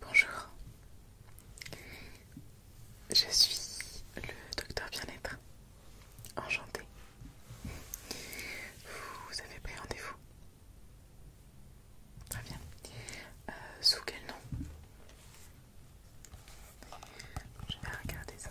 Bonjour, je suis le docteur bien-être. enchanté. Vous avez pris rendez-vous Très bien. Euh, sous quel nom Je vais regarder ça.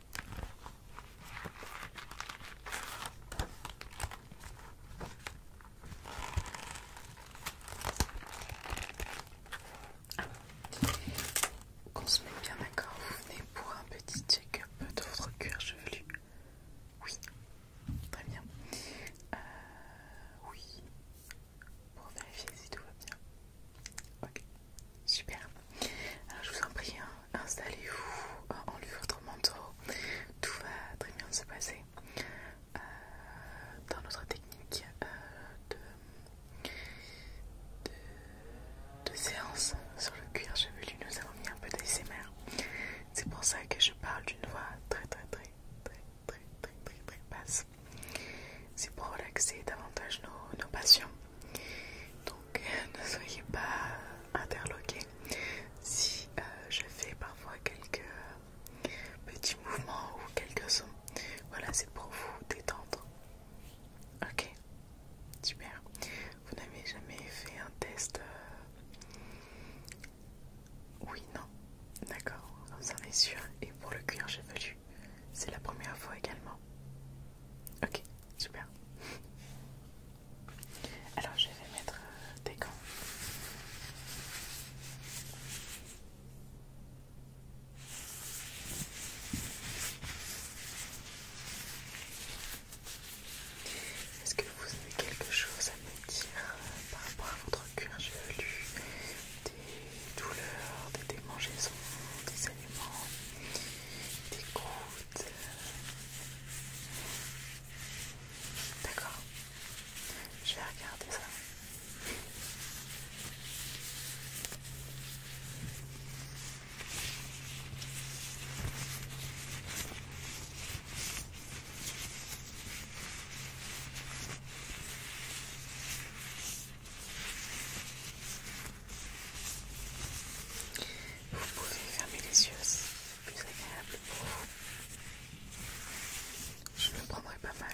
Qu'on se met bien d'accord, vous venez pour un petit check-up de votre cuir chevelu. Oui, très bien. Euh, oui, pour vérifier si tout va bien. Ok, super. Alors je vous en prie, hein, installez-vous, enlevez hein, votre manteau, tout va très bien se passer. Euh, dans notre technique euh, de, séance sur le cuir chevelu, nous avons mis un peu d'ASMR. C'est pour ça que je parle d'une voix très très très très très très très basse. C'est pour relaxer davantage nos, passions. Donc ne soyez pas interloqués si euh, je fais parfois quelques petits mouvements ou quelques sons. Voilà, c'est pour vous détendre. Ok, super. Vous n'avez jamais fait un test euh, Oui, non. D'accord, Vous en êtes sûr. Et pour le cuir chevelu c'est la première fois également. Ok, super. Alors je vais mettre euh, des gants. Est-ce que vous avez quelque chose à me dire euh, par rapport à votre cuir chevelu douleurs, des démangeaisons, des aliments, des croûtes. D'accord Je vais regarder ça. Vous pouvez fermer les yeux c'est plus agréable pour vous. Je le prendrai pas mal.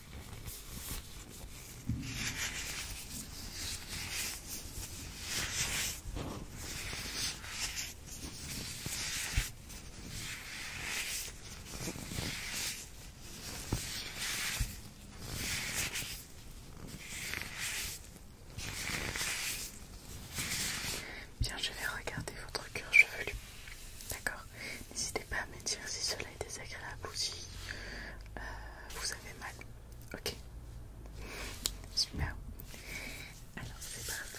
Bien, je vais regarder votre cuir chevelu. D'accord N'hésitez pas à me dire si cela cela est désagréable si euh, vous avez mal. Ok Super. Alors c'est parti.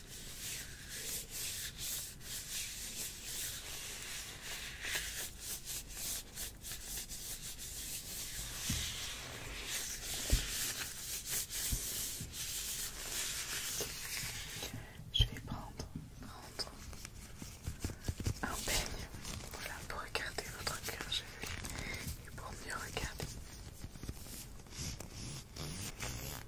Je vais prendre, un peigne voilà, pour regarder votre cœur, je vais et pour mieux regarder.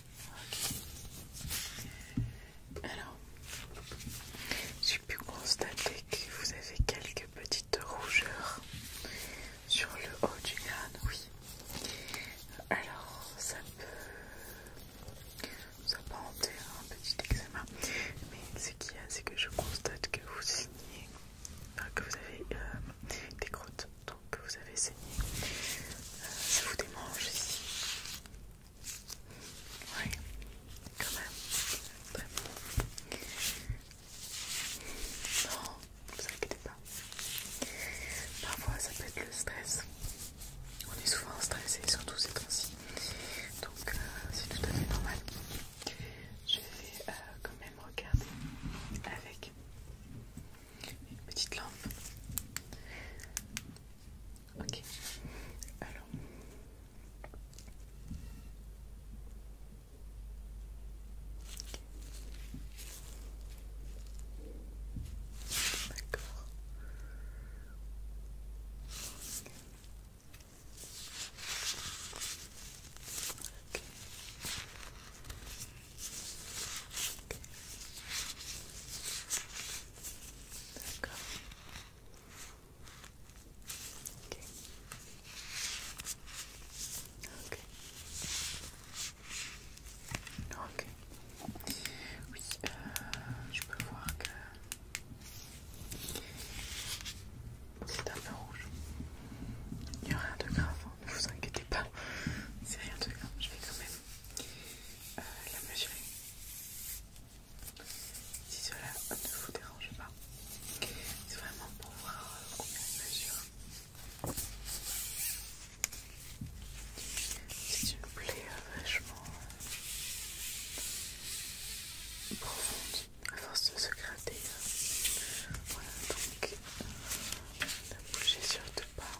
Ok, Alors, j'ai pu constater que vous avez quelques petites rougeurs sur le haut du crâne, oui. Alors, ça peut, ça peut un petit examen, mais ce qu'il y a, c'est que je constate que vous signez, que vous avez euh, des crottes, donc que vous avez saigné. Euh, ça vous démange ici. Oui, quand même. très bon. Non, vous inquiétez pas. Parfois, ça peut être le stress. On est souvent stressé, surtout ces temps-ci. Donc, euh, c'est tout à fait normal. Je vais euh, quand même regarder avec une petite lampe Ok. Alors. D'accord. Ok. Ok. Ok. Oui, euh, je peux voir que c'est un peu rouge. Il n'y a rien de grave, hein, ne vous inquiétez pas. C'est rien de grave. Je vais quand même euh, la mesurer si cela ne vous dérange pas. C'est vraiment pour voir euh, combien elle mesure. C'est une plaie euh, vachement profonde à force de se gratter. Voilà donc, ne bougez surtout pas.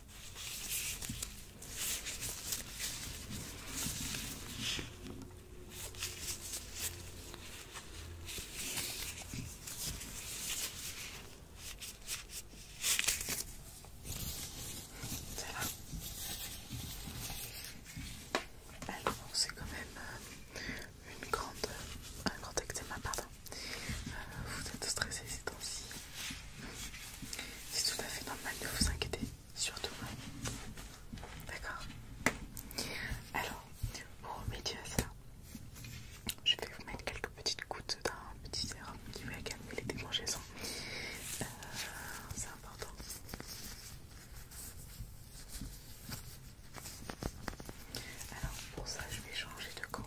Alors c'est quand même euh, une grande, un grand ectéma pardon. Euh, vous êtes stressé ces temps-ci. C'est tout à fait normal de vous inquiéter, surtout moi. D'accord Alors, pour remédier à ça, je vais vous mettre quelques petites gouttes d'un petit sérum qui va calmer les démangeaisons. Euh, c'est important. Alors pour ça je vais changer de camp.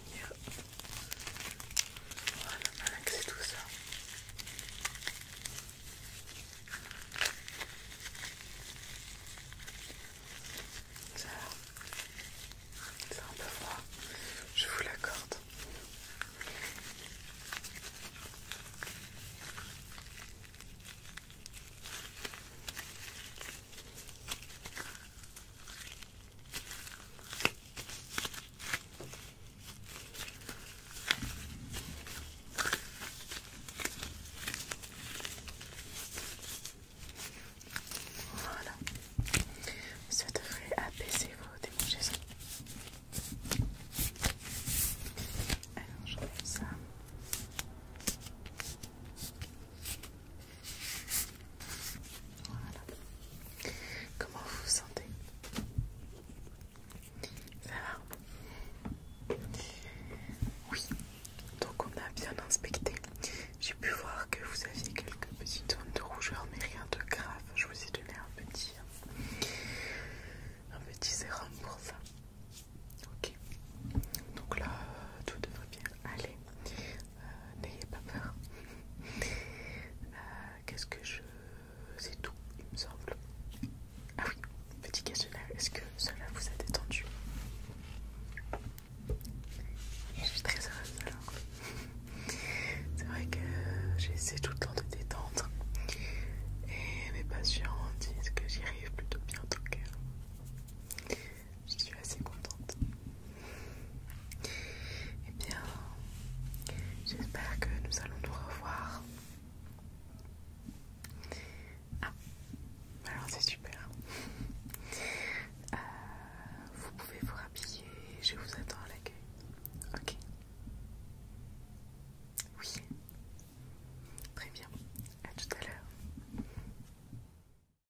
Voilà, malaxé tout ça. Ça c'est un peu froid, je vous l'accorde. Voilà, ça devrait apaiser vos démangeaisons. Alors je mets ça. Voilà. Comment vous vous sentez Ça va Oui. Donc on a bien inspecté. J'ai pu voir que vous aviez quelques petites zones de rougeur, mais rien de grave. Je vous ai donné un petit, un petit sérum pour ça. Ok. Donc là, tout devrait bien aller. Euh, n'ayez pas peur. Euh, qu'est-ce que je. C'est tout, il me semble. Ah oui, petit questionnaire, est-ce que cela vous a détendu Je suis très heureuse alors. C'est vrai que j'essaie tout le temps de détendre et mes patients disent que j'y arrive plutôt bien donc euh, je suis assez contente. Eh bien, j'espère que nous allons nous revoir. Ah, alors c'est super. Euh, vous pouvez vous habiller, je vous attends à l'accueil. Ok. Oui. Très bien. À tout à l'heure.